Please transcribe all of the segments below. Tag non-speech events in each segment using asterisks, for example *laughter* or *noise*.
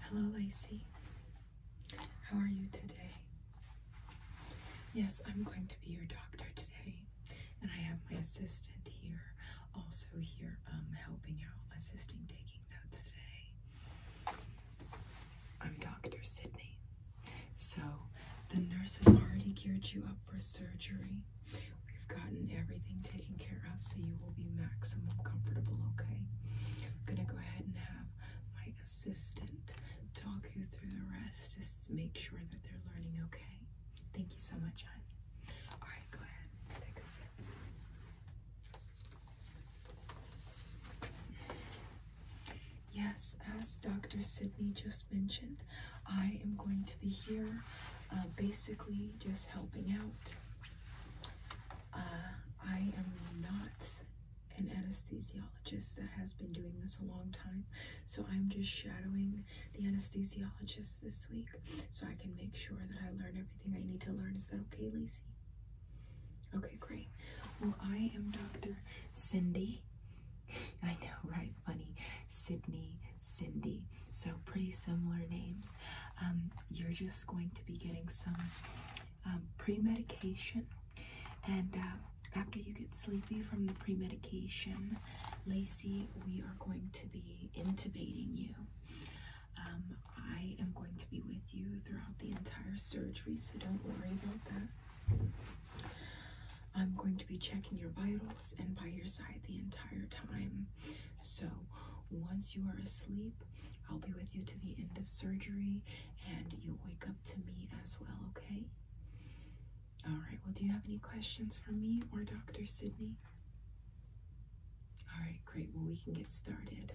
Hello, Lacey. How are you today? Yes, I'm going to be your doctor today, and I have my assistant here, also here, um, helping out, assisting, taking notes today. I'm Dr. Sydney. So, the nurse has already geared you up for surgery. We've gotten everything taken care of so you will be maximum comfortable, okay? I'm gonna go ahead and have my assistant talk you through the rest. Just make sure that they're learning, okay? Thank you so much, hon. All right, go ahead. Yes, as Dr. Sydney just mentioned, I am going to be here uh, basically just helping out uh, I am not an anesthesiologist that has been doing this a long time, so I'm just shadowing the anesthesiologist this week so I can make sure that I learn everything I need to learn. Is that okay, Lacey? Okay, great. Well, I am Dr. Cindy. *laughs* I know, right? Funny. Sydney, Cindy. So pretty similar names. Um, you're just going to be getting some um, pre-medication and uh, after you get sleepy from the pre-medication, Lacey, we are going to be intubating you. Um, I am going to be with you throughout the entire surgery, so don't worry about that. I'm going to be checking your vitals and by your side the entire time. So, once you are asleep, I'll be with you to the end of surgery and you'll wake up to me as well, okay? All right, well, do you have any questions for me or Dr. Sydney? All right, great. Well, we can get started.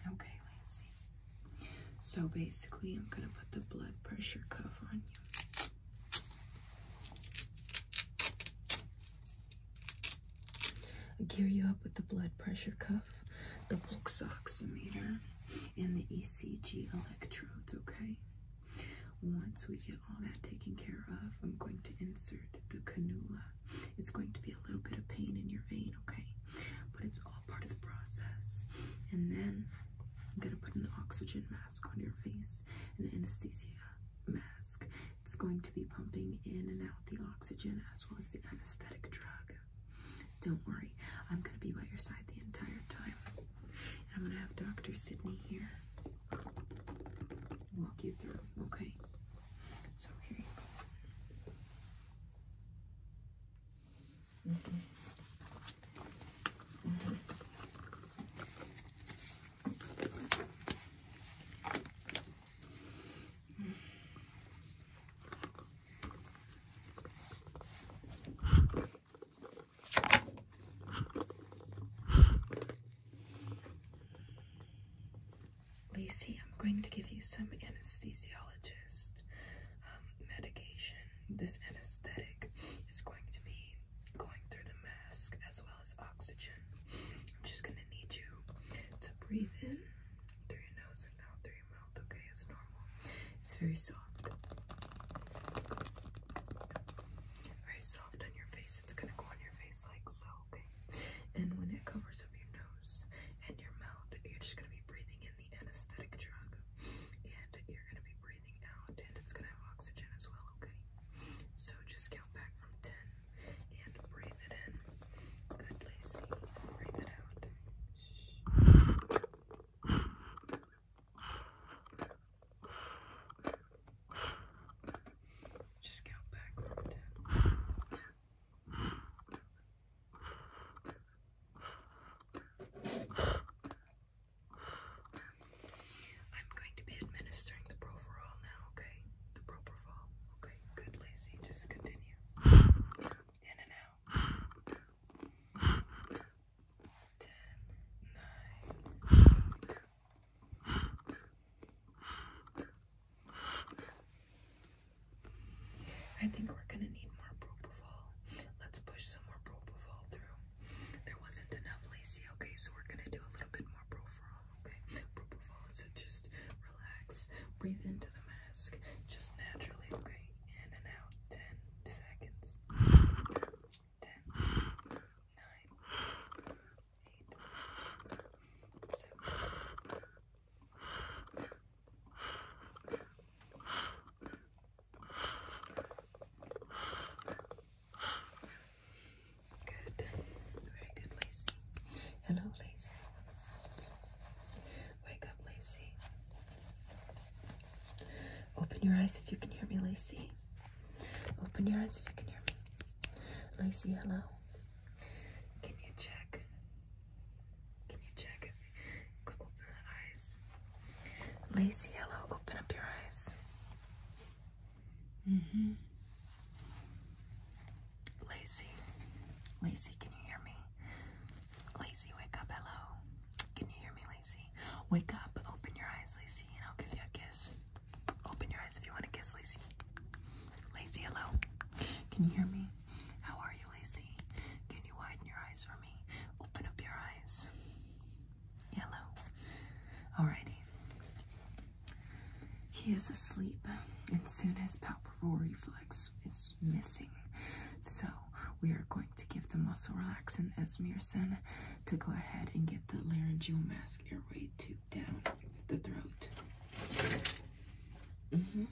Okay, let So basically, I'm going to put the blood pressure cuff on you gear you up with the blood pressure cuff, the bulk oximeter, and the ECG electrodes, okay? Once we get all that taken care of, I'm going to insert the cannula. It's going to be a little bit of pain in your vein, okay? But it's all part of the process. And then I'm going to put an oxygen mask mask on your face, an anesthesia mask. It's going to be pumping in and out the oxygen as well as the anesthetic drug. Don't worry, I'm going to be by your side the entire time. I'm going to have Dr. Sydney here walk you through, okay? So here Lizzy, I'm going to give you some anesthesiologist um, medication. This anesthetic is going to be going through the mask as well as oxygen. I'm just going to need you to breathe in through your nose and out through your mouth, okay? It's normal. It's very soft. Very soft on your face. It's going to go on your face like so, okay? And when it covers up your nose and your mouth, you're just going to be breathing in the anesthetic drug. And you're going to be breathing out, and it's gonna have oxygen as well, okay? So just count back from 10 and breathe it in. Good, Lacey. Breathe it out. Just count back from 10. Good. I'm going to be administering the Proferol now, okay? The Propofol. Okay, good, Lacey. Just continue. In and out. Ten, nine. I think we're gonna need more propofol. Let's push some more propofol through. There wasn't enough lacy, okay, so we're gonna do a little bit more profile, okay? Propofol, so just relax, breathe into the mask, just naturally, okay? In and out, 10 seconds. 10, 9, 8, 7, Good. Very good, Lacey. Hello, Lacey. Wake up, Lacey. Open your eyes if you can hear me, Lacey. Open your eyes if you can hear me. Lacey, hello. Can you check? Can you check if open your eyes. Lazy yellow, open up your eyes. Mm-hmm. Lazy. Lazy, can you hear me? Lazy, wake up, hello. Can you hear me, Lazy? Wake up, open your eyes, Lazy, and I'll give you a kiss. Open your eyes if you want to kiss, Lazy. Lazy, hello. Can you hear me? How are you, Lazy? Can you widen your eyes for me? Open up your eyes. Yellow. Alrighty. He is asleep, and soon his palpebral reflex is missing. So, we are going to give the muscle relaxant esmirsen to go ahead and get the laryngeal mask airway tube down the throat. Mm-hmm.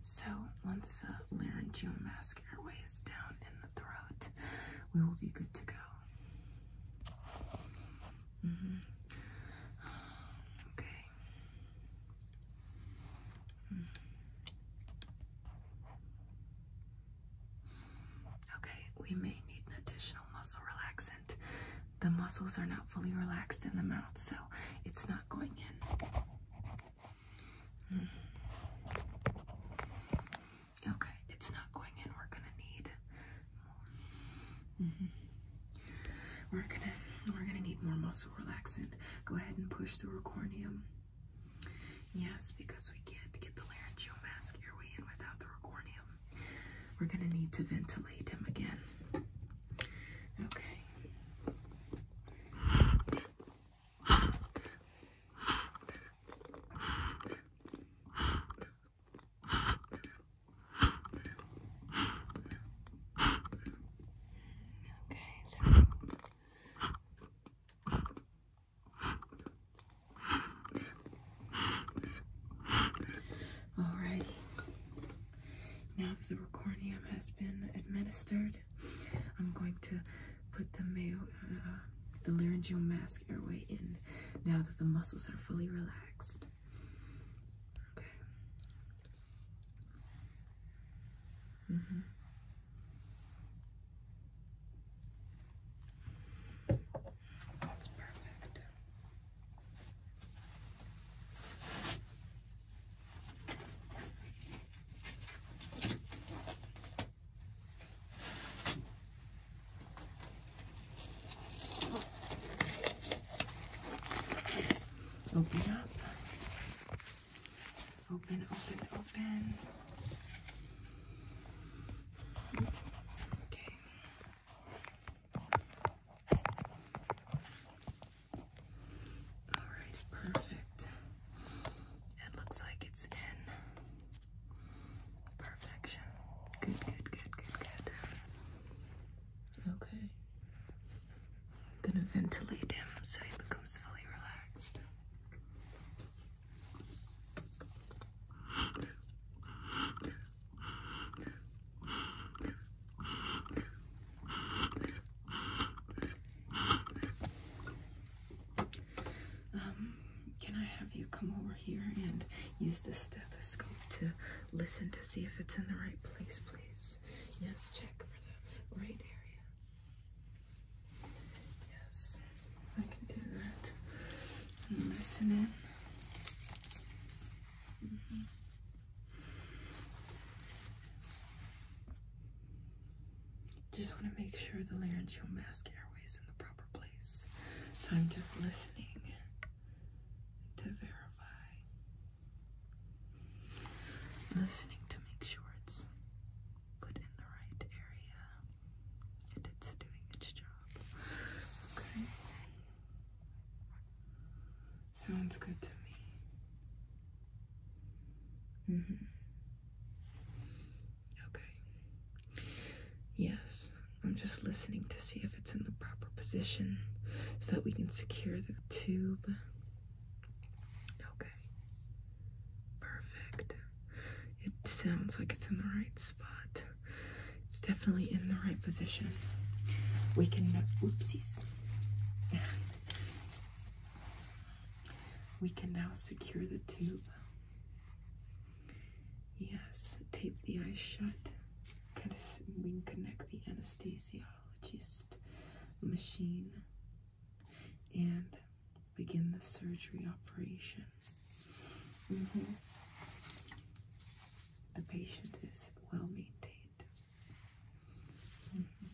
So, once the laryngeal mask mask airways down in the throat, we will be good to go. Mm-hmm. Okay. Mm-hmm. Okay, we may need an additional muscle relaxant. The muscles are not fully relaxed in the mouth, so it's not going in. Mm-hmm. Okay, it's not going in. We're gonna need more. Mm-hmm. We're gonna we're gonna need more muscle relaxant. Go ahead and push through her corneum. Yes, because we can't get the laryngeal mask airway in without the corneum. We're gonna need to ventilate him again. Okay. Okay, so Alrighty. Now that the recordium has been administered, I'm going to put the uh, the laryngeal mask airway in now that the muscles are fully relaxed. Okay. Mm -hmm. That's perfect. Open up. Open, open, open. Okay. All right, perfect. It looks like it's in perfection. Good, good, good, good, good. Okay. I'm gonna ventilate him so he becomes fully relaxed. Um, can I have you come over here and use the stethoscope to listen to see if it's in the right place, please? Yes, check for the right area. Yes, I can do that. And listen in. Mm-hmm. Just want to make sure the laryngeal mask airway is in the proper place. So I'm just listening to verify. Listening to make sure it's put in the right area and it's doing its job. Okay. Sounds good to me. hmm Okay. Yes, I'm just listening to see if it's in the proper position so that we can secure the tube. Okay. Perfect. It sounds like it's in the right spot. It's definitely in the right position. We can, oopsies. *laughs* We can now secure the tube. Yes, tape the eyes shut. We can connect the anesthesiologist machine and begin the surgery operation. Mm-hmm. The patient is well maintained. Mm-hmm.